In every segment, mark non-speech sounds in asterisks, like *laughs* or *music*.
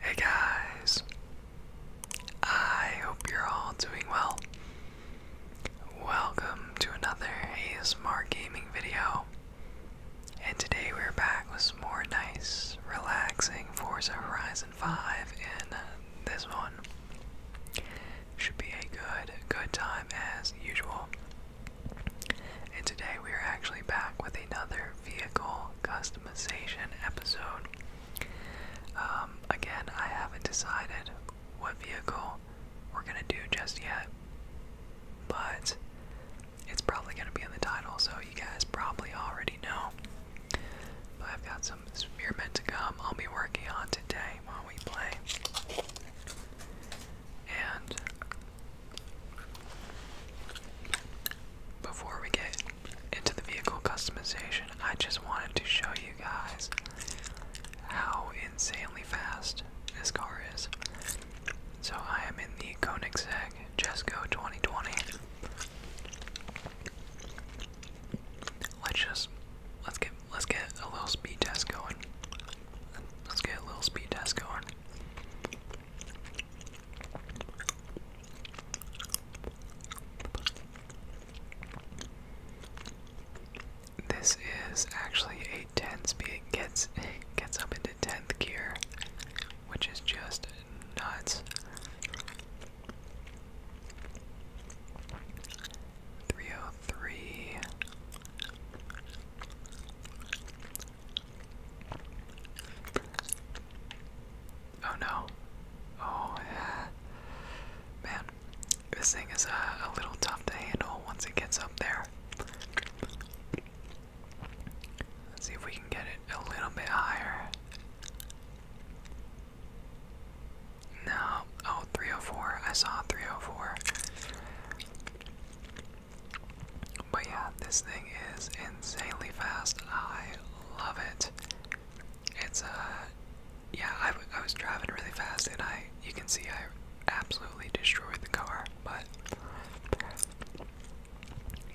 Hey guys, I hope you're all doing well. Welcome to another ASMR gaming video, and today we're back with some more nice, relaxing Forza Horizon 5 in this one. Should be a good, good time as usual. And today we are actually back with another vehicle customization episode. Um, again, I haven't decided what vehicle we're gonna do just yet, but it's probably gonna be in the title, so you guys probably already know. But I've got some spearmint to come I'll be working on today while we play. And before we get into the vehicle customization, I just wanted to show you guys how insanely fast this car is. So I am in the Koenigsegg Jesco 2020. Let's just let's get let's get a little speed test going. Let's get a little speed test going. This is actually a 10 speed. It gets, *laughs* gets up into 10th gear, which is just nuts. 303. Oh no. Oh yeah. Man, this thing is uh, a little tough to handle once it gets up there. Let's see if we can get it a little bit higher. No. Oh, 304. I saw 304. But yeah, this thing is insanely fast. I love it. It's a uh, yeah. I was driving really fast, and I you can see I absolutely destroyed the car. But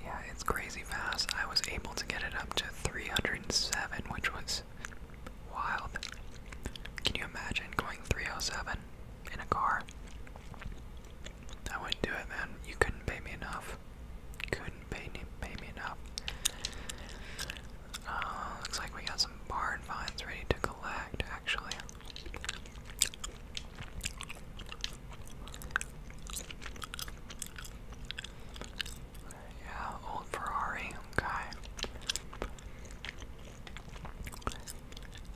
yeah, it's crazy fast. I was able to get it up to 307, which was wild. Can you imagine going 307 in a car? I wouldn't do it, man. You couldn't pay me enough. Couldn't pay me, pay me enough. Uh, looks like we got some barn vines ready to collect, actually. Yeah, old Ferrari, okay.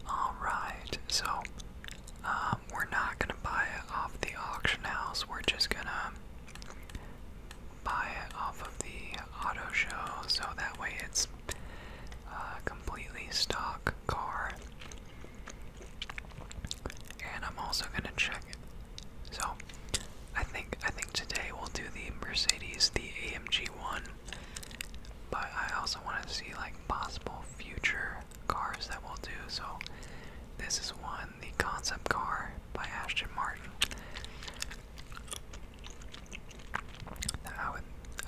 Alright, so um, we're not gonna buy it off the auction house. We're just gonna buy it off of the auto show, so that way it's a uh, completely stock car. And I'm also gonna check it. So I think I think today we'll do the Mercedes, the AMG one. But I also want to see like possible future cars that we'll do. So this is one, the concept car by Ashton Martin. That I would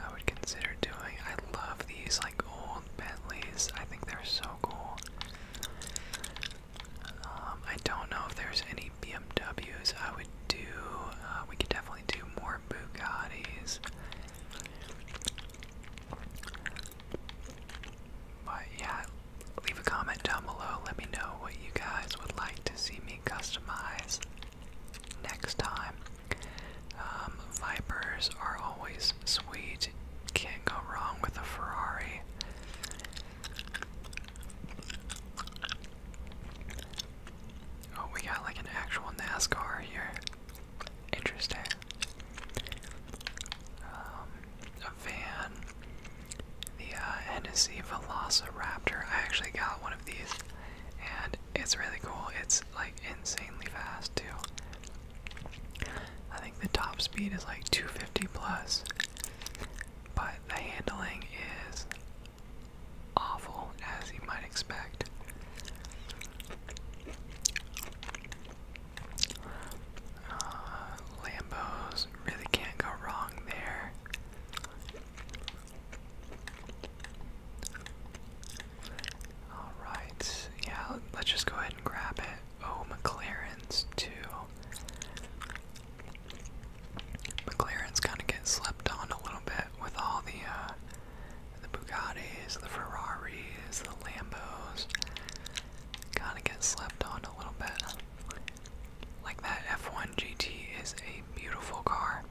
I would consider doing. I love these like old Bentleys. I think they're so cool. Um, I don't know if there's any BMWs I would do. Uh, we could definitely do more Bugattis. But yeah, leave a comment down below. Let me know what you guys would like to see me customize next time. Um, Vipers are always sweet. Can't go wrong with a Ferrari. Oh, we got like an actual NASCAR here. Interesting. Um, a van. The uh, Velociraptor. I actually got one of these, and it's really cool. It's like insanely fast too. I think the top speed is like 250 plus, but the handling is awful as you might expect. Uh, Lambos really can't go wrong there. Alright, yeah, let's just go ahead and grab it. Oh, McLaren's too. McLaren's kind of get slept on a little bit with all the uh, the Bugattis, the Ferraris, the Lambos kind of get slept on a little bit. Like that F1 GT is a beautiful car.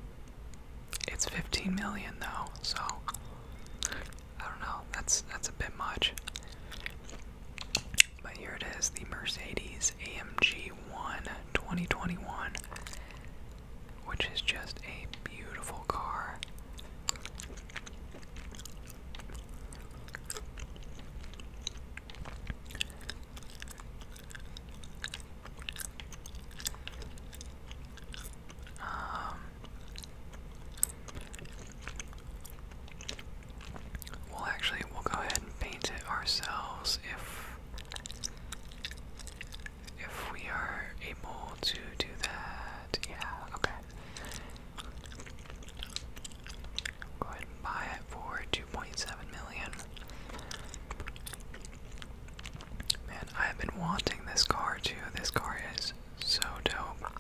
It's 15 million though, so I don't know. That's that's a bit much. But here it is, the Mercedes AMG 1 2021 which is just a beautiful car. Um, actually we'll go ahead and paint it ourselves if if we are able to do that. Yeah, okay. Go ahead and buy it for 2.7 million. Man, I have been wanting this car too. This car is so dope.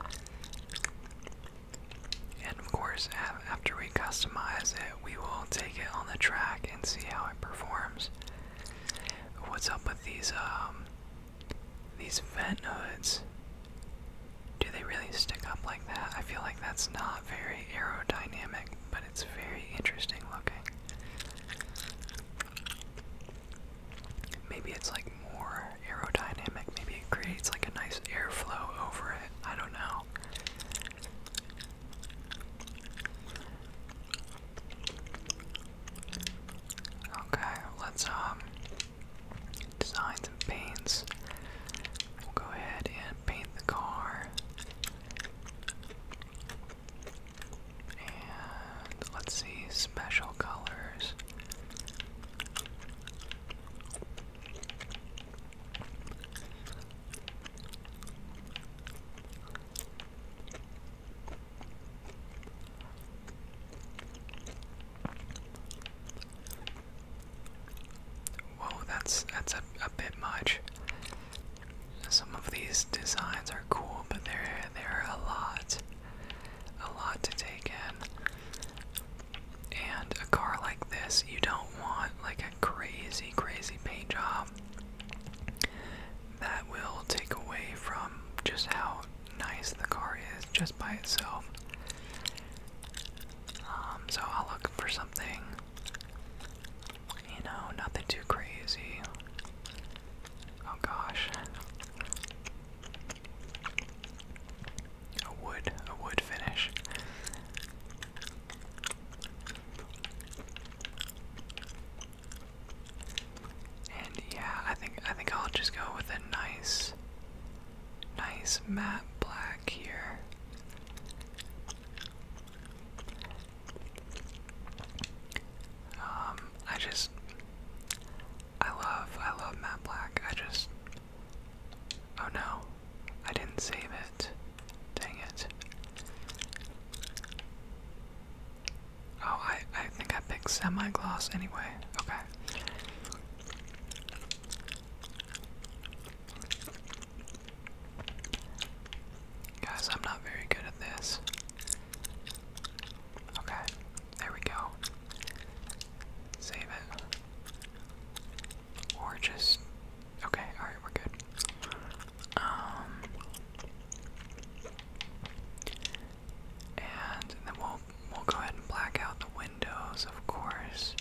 And of course, after we customize it, we will take it on the track and see how it performs. What's up with these um these vent hoods, do they really stick up like that? I feel like that's not very aerodynamic, but it's very interesting looking. Maybe it's like more aerodynamic, maybe it creates like a nice airflow over it. I don't know. Okay, let's um design some paints. We'll go ahead and paint the car. And let's see special colors. Whoa, that's that's a, bit much. Some of these designs are cool, but they're they're a lot, a lot to take in. And a car like this, you don't want like a crazy, crazy paint job. That will take away from just how nice the car is just by itself. Um, so I'll look for something, you know, nothing too crazy. Oh gosh. A wood, a wood finish. And yeah, I think I think I'll just go with a nice nice matte black here. Um, I just I love I love matte black. I just Oh no. I didn't save it. Dang it. Oh, I, I think I picked semi-gloss anyway. Okay. Guys, I'm not very good at this. Okay, there we go. Save it. Or just. Okay, alright, we're good. Um, and then we'll we'll go ahead and black out the windows, of course.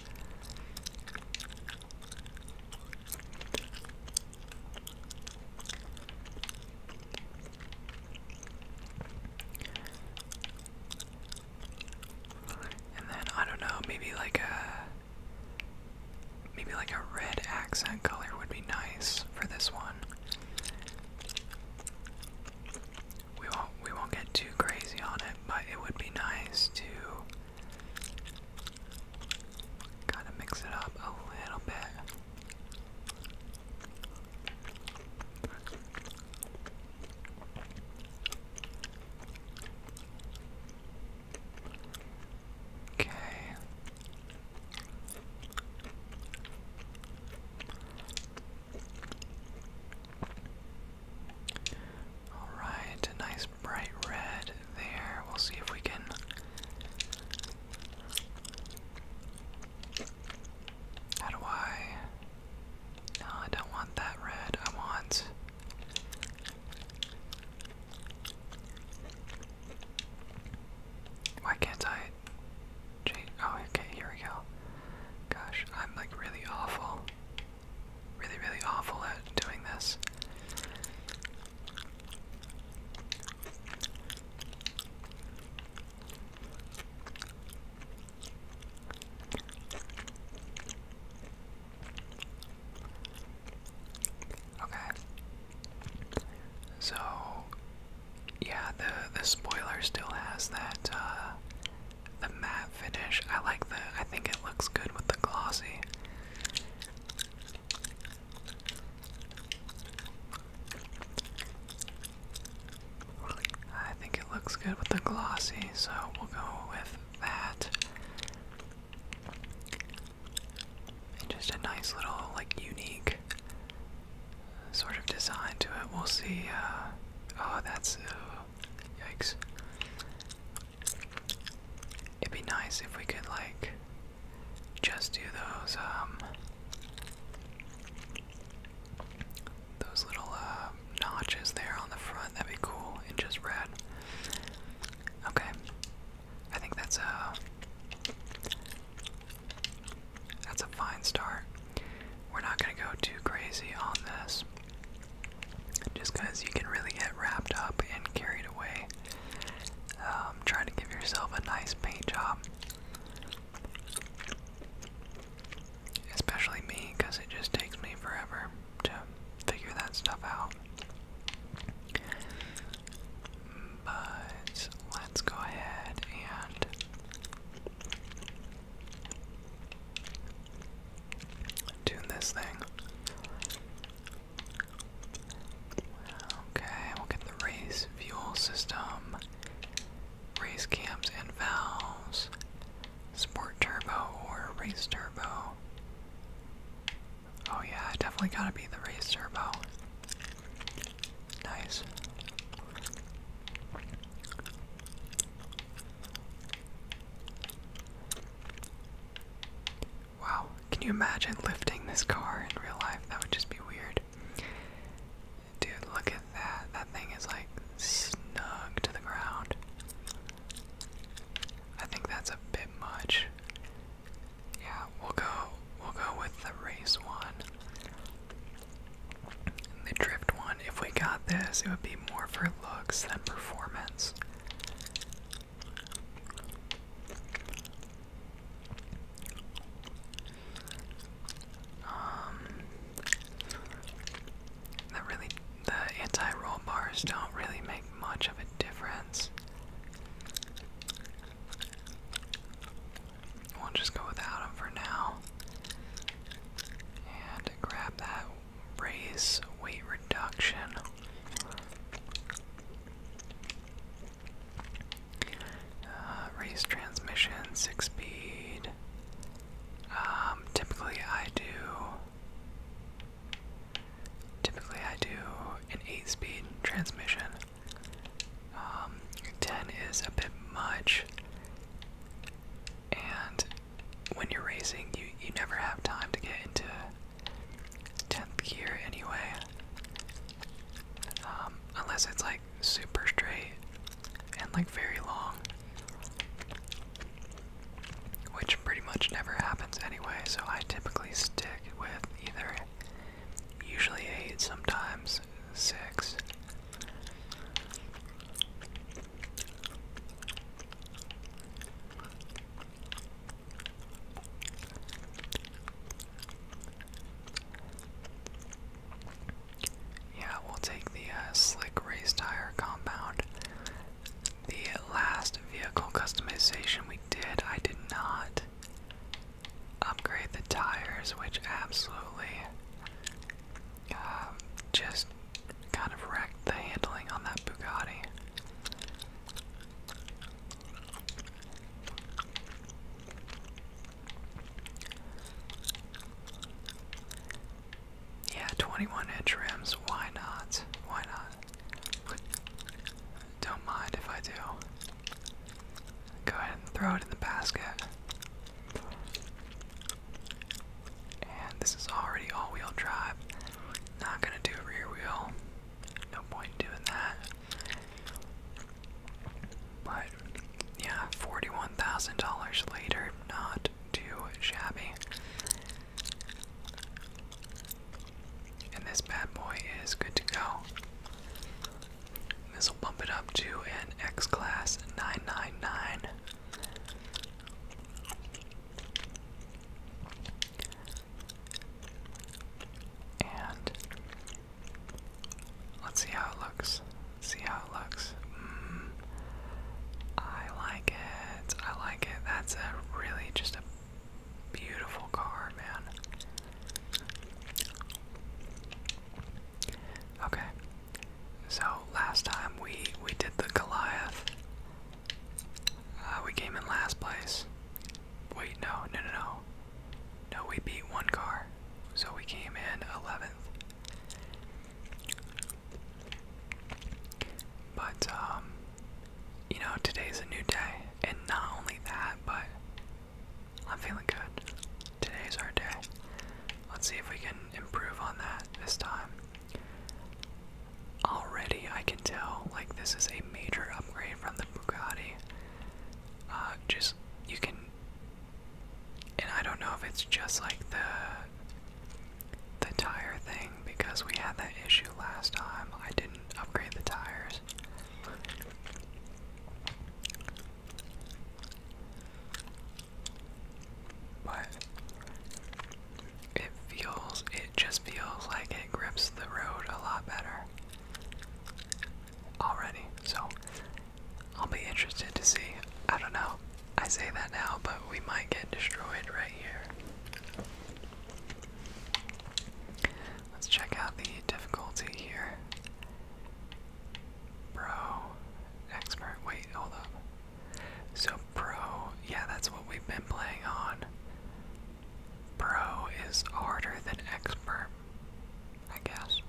And then I don't know, maybe like a Maybe like a red accent color would be nice for this one. We won't we won't get too crazy on it, but it would be nice to kind of mix it up a little bit. Okay. Alright, nice bright red there. We'll see if we can. How do I. No, I don't want that red. I want. Why can't I change? Oh, okay, here we go. Gosh, I'm like really awful. Really, really awful at doing this. Okay. So, yeah, the the spoiler still has that uh, the matte finish. I like the. I think it looks good with the glossy. I think it looks good with the glossy, so we'll go with that just a nice little, like, unique sort of design to it. We'll see. Uh, oh, that's. Uh, yikes. It'd be nice if we could, like, just do those, um. Those little uh, notches there on the front, that'd be cool, and just red. Okay, I think that's a that's a fine start. We're not gonna go too crazy on this, just because you can really get wrapped up and carried away. Um, to give yourself a nice paint job, especially me, it just takes me forever to figure that stuff out. But let's go ahead and tune this thing. Okay, we'll get the race fuel system, race cams and valves, sport turbo or race turbo. Oh yeah, definitely gotta be the raised turbo. Nice. Wow, can you imagine lifting this car in real life? That would just be weird. Dude, look at that. That thing is like snug to the ground. I think that's a bit much. Yeah, we'll go we'll go with the race one. the drift one, if we got this, it would be more for looks than performance. Um that really the anti-roll bars don't really make much of a difference. We'll just go without him for now. And grab that raise weight reduction. Uh, transmission, six speed. Um, typically I do Typically, I do an 8 speed transmission. Um, 10 is a bit much, and when you're racing, you, you never have time to get into 10th gear anyway. Um, unless it's like super straight and like very long, which pretty much never happens anyway, so I typically stick with either. Usually eight, sometimes six. Yeah, we'll take the uh, slick race tire compound the last vehicle customization we did, I did not upgrade the tires, which absolutely um, just kind of wrecked the handling on that Bugatti. Yeah, 21 inch rims, why not? Why not? Don't mind if I do. Go ahead and throw it in the basket. And this is already all-wheel drive. Not gonna do rear wheel. No point in doing that. But yeah, $41,000 later, not too shabby. And this bad boy is good to go. This will bump it up to an X Class 999. And let's see how it looks. Let's see how it looks. Mm. I like it. I like it. That's a really just a Beautiful car, man. Okay. So last time we we did the Goliath. Uh, we came in last place. Wait, no, no, no, no. No, we beat one car. So we came in 11th. But um you know, today's a new day. And not only that, but I'm feeling good. Today's our day. Let's see if we can improve on that this time. Already, I can tell, like, this is a major upgrade from the Bugatti. Uh, just, you can. And I don't know if it's just like the the tire thing because we had that issue last time. I didn't upgrade the tires. But it feels, it just feels like it grips the road a lot better already. So I'll be interested to see. I don't know. I say that now, but we might get destroyed right here. Let's check out the difficulty here. Pro, expert, wait, hold up. So, pro, yeah, that's what we've been playing on. Pro is harder than expert, I guess.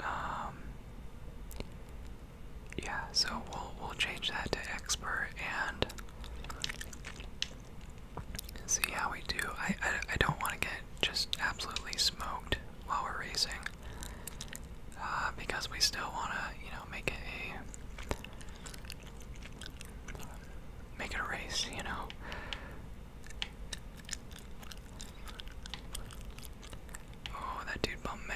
Um, yeah, so we'll we'll change that to expert and see how we do. I I, I don't want to get just absolutely smoked while we're racing, uh, because we still want to you know make it a make it a race, you know. Oh, that dude bumped me.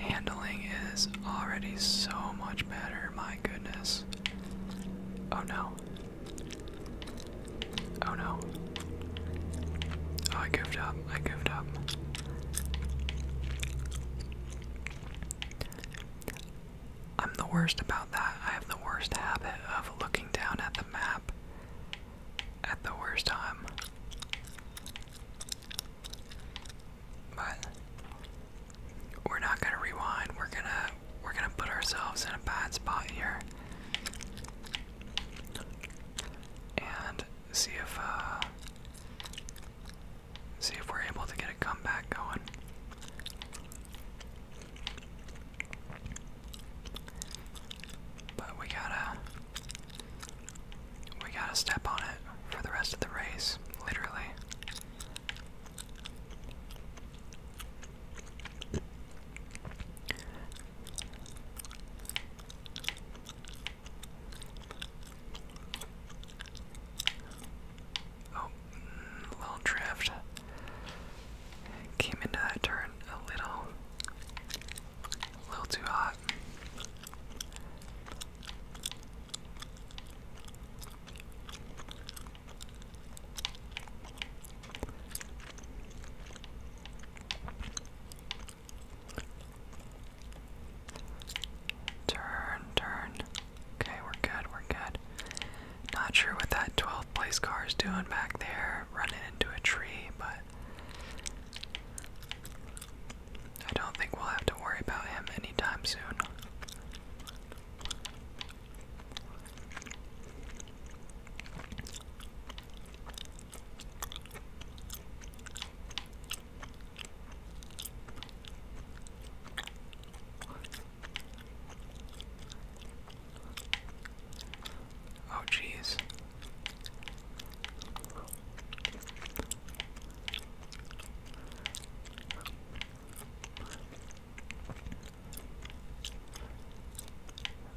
Handling is already so much better, my goodness. Oh no. Oh no. Oh, I goofed up. I goofed up. I'm the worst about that. I have the worst habit of looking down at the map at the worst time. But we're not gonna rewind. We're gonna we're gonna put ourselves in a bad spot here and see if uh, see if we're able to get a comeback going. But we gotta we gotta step on it for the rest of the race, literally. Oh, little drift. Came into that turn a little, a little too hot. Turn, turn. Okay, we're good, we're good. Not sure what that 12th place car is doing back there, running into a tree, but I don't think we'll have to worry about him anytime soon. Oh, jeez.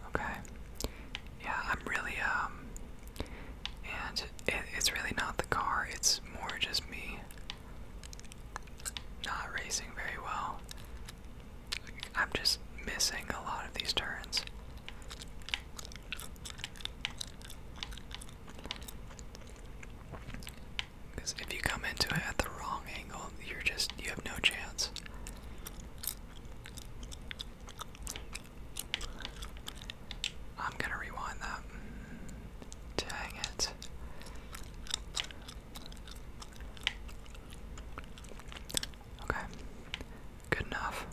Okay. Yeah, I'm really um and it's really not the car, it's more just me not racing very well. I'm just missing a lot of these turns. Because if you come into it at the wrong angle, you're just, you have no chance. I'm gonna rewind that. Dang it. Okay. Good enough.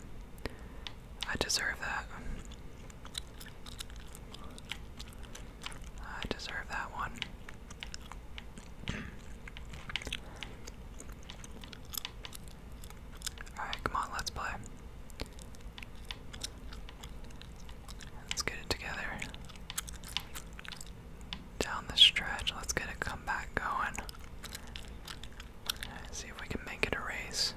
I deserve that. I deserve that one. Alright, come on, let's play. Let's get it together. Down the stretch, let's get a comeback going. see if we can make it a race.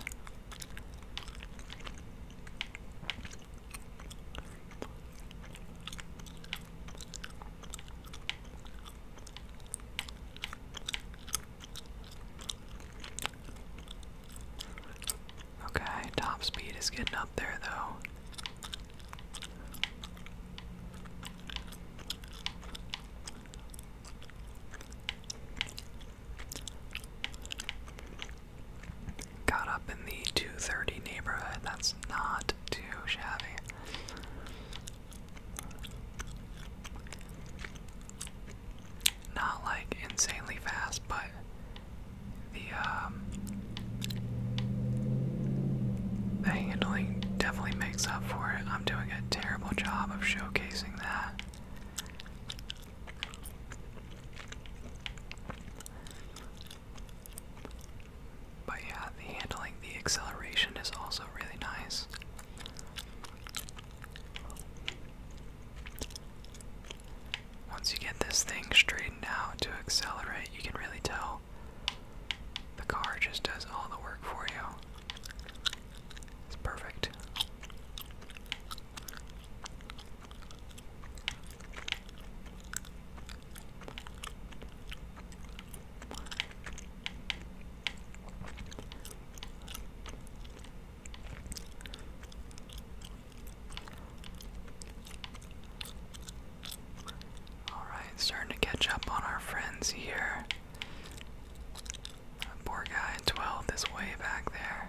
Okay, top speed is getting up there though got up in the 230 neighborhood. That's not too shabby. Not like insanely fast, but the um, the handling definitely makes up for it. I'm doing a terrible job of showcasing that. But yeah, the handling, the acceleration is also really nice. Once you get this thing straightened out to accelerate, you can really tell the car just does all the work for you. It's perfect. All right, starting to catch up on our friends here. poor guy 12 is way back there.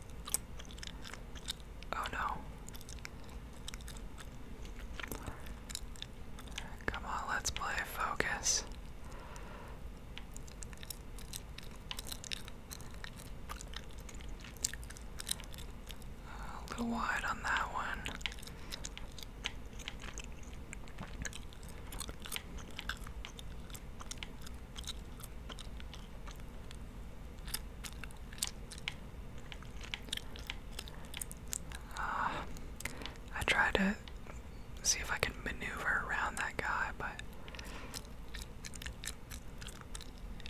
Oh no. Come on, let's play focus. A little wide on that one. Uh, I tried to see if I can maneuver around that guy, but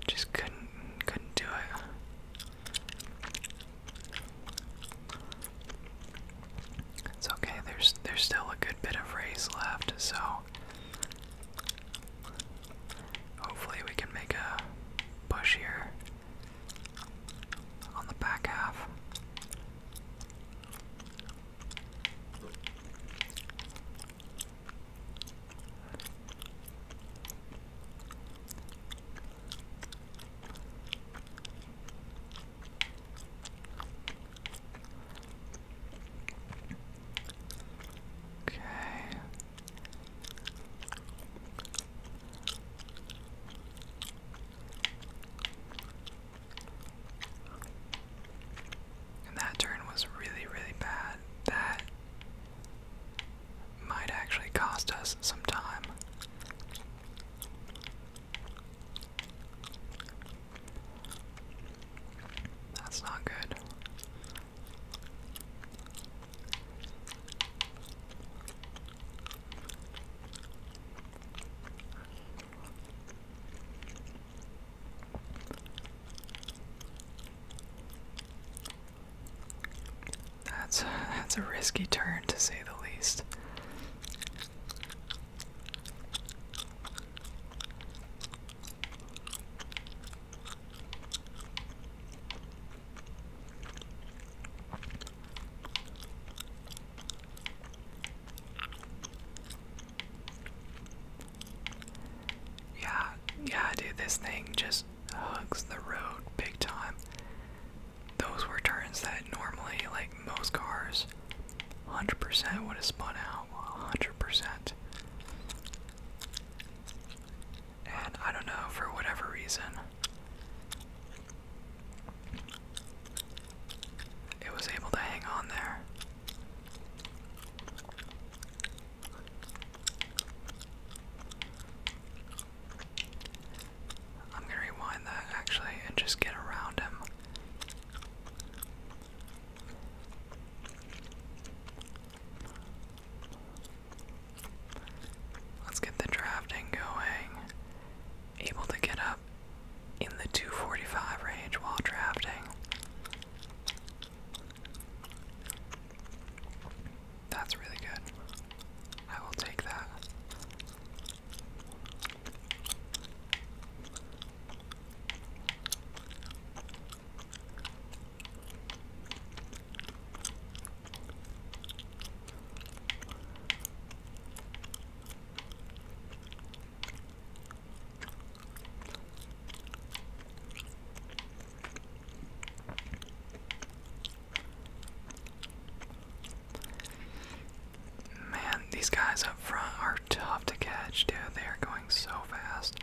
just couldn't couldn't do it. It's okay. There's there's still a good bit of race left, so Hopefully, we can make a push here on the back half. Okay that turn was really, really bad. That might actually cost us some time. That's not good. That's a, that's a risky turn to say the least. Yeah, yeah, dude, this thing just hugs the road big time. Those were turns that normally, like most cars, 100% would have spun out. 100%. And I don't know, for whatever reason, it was able to hang on there. I'm gonna rewind that actually and just get around him. Let's get the drafting going. Able to get up in the 245 range while drafting. That's really good. I will take that. Man, these guys up front are tough to catch, dude. They are going so fast.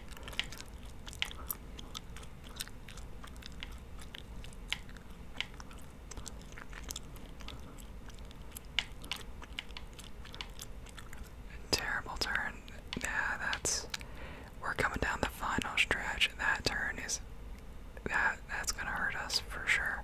Terrible turn. Nah, that's. We're coming down the final stretch. That turn is. That that's gonna hurt us for sure.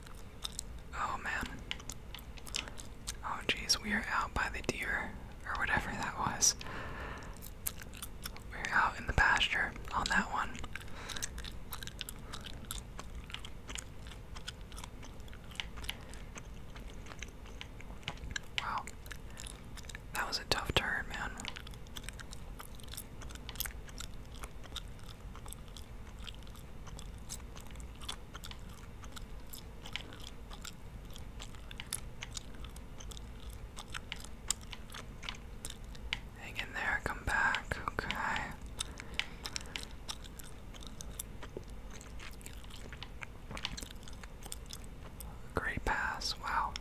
Oh man. Oh jeez, we are out by the deer, or whatever that was. We're out in the pasture on that one. Wow. That was a tough turn, man. Hang in there, come back, okay. Great pass, wow.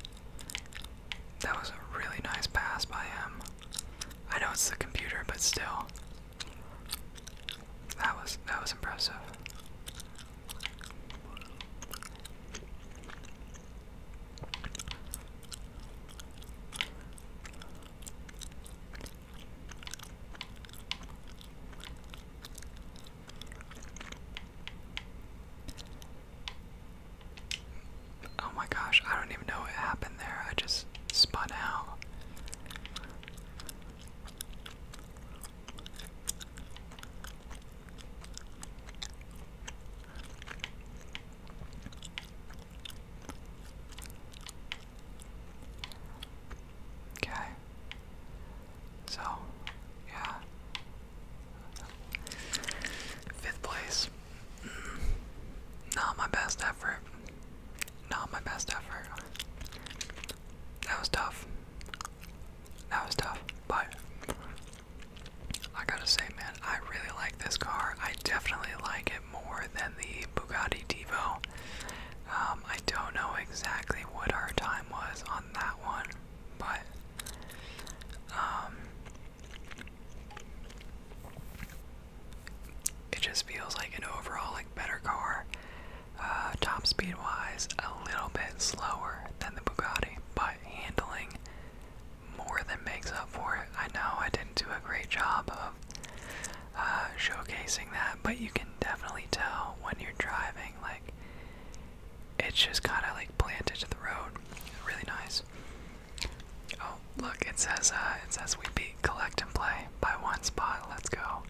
That was a really nice pass by him. I know it's the computer, but still. That was that was impressive. Oh my gosh, I don't even know what happened there. I just spun out. Okay. So, yeah. Fifth place. Mm. Not my best effort. Not my best effort. That was tough. That was tough, but I gotta say, man, I really like this car. I definitely like it more than the Bugatti Devo. Um, I don't know exactly what our time was on that one, but um, it just feels like an overall like better car. Uh, top speed wise, a little bit slower than the Bugatti, but handling more than makes up for it. I know I didn't do a great job of uh, showcasing that, but you can definitely tell when you're driving, like it's just kind of like planted to the road. Really nice. Oh, look, it says uh, it says we beat collect and play by one spot. Let's go.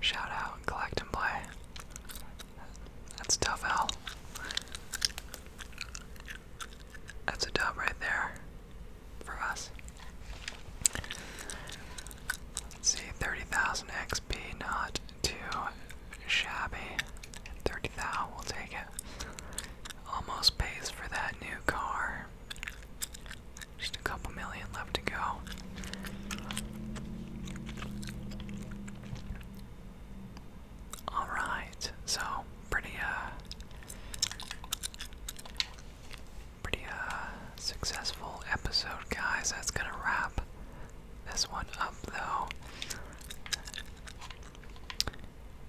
Shout out, collect and play. That's tough L. That's a dub right there for us. Let's see, 30,000 XP, not too shabby. 30 thou, we'll take it. Almost pays for that new car. Just a couple million left to go. Alright, so pretty uh pretty uh successful episode guys. That's gonna wrap this one up though.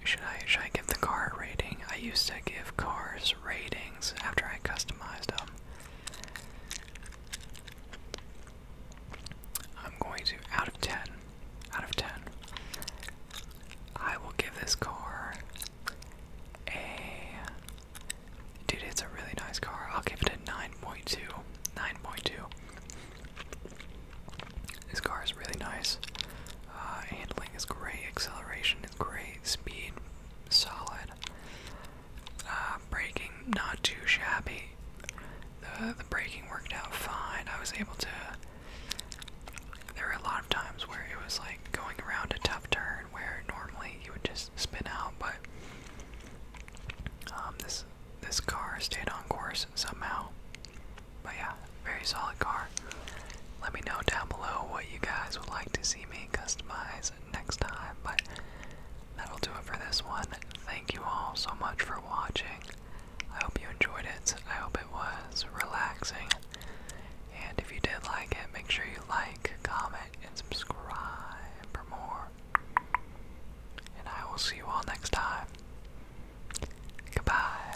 Should I should I give the car rating? I used to give cars ratings after I customized them. I'm going to, out of 10, out of 10, I will give this car a, dude, it's a really nice car. I'll give it a 9.2, 9.2. This car is really nice. Uh, handling is great, acceleration is great, speed solid. Uh, braking not too shabby. The the braking worked out fine. I was able to. There were a lot of times where it was like going around a tough turn where normally you would just spin out, but um, this this car stayed on course somehow. But yeah, very solid car. Let me know down below what you guys would like to see me customize next time, but that'll do it for this one. Thank you all so much for watching. I hope you enjoyed it. I hope it was relaxing. And if you did like it, make sure you like, comment, and subscribe for more. And I will see you all next time. Goodbye.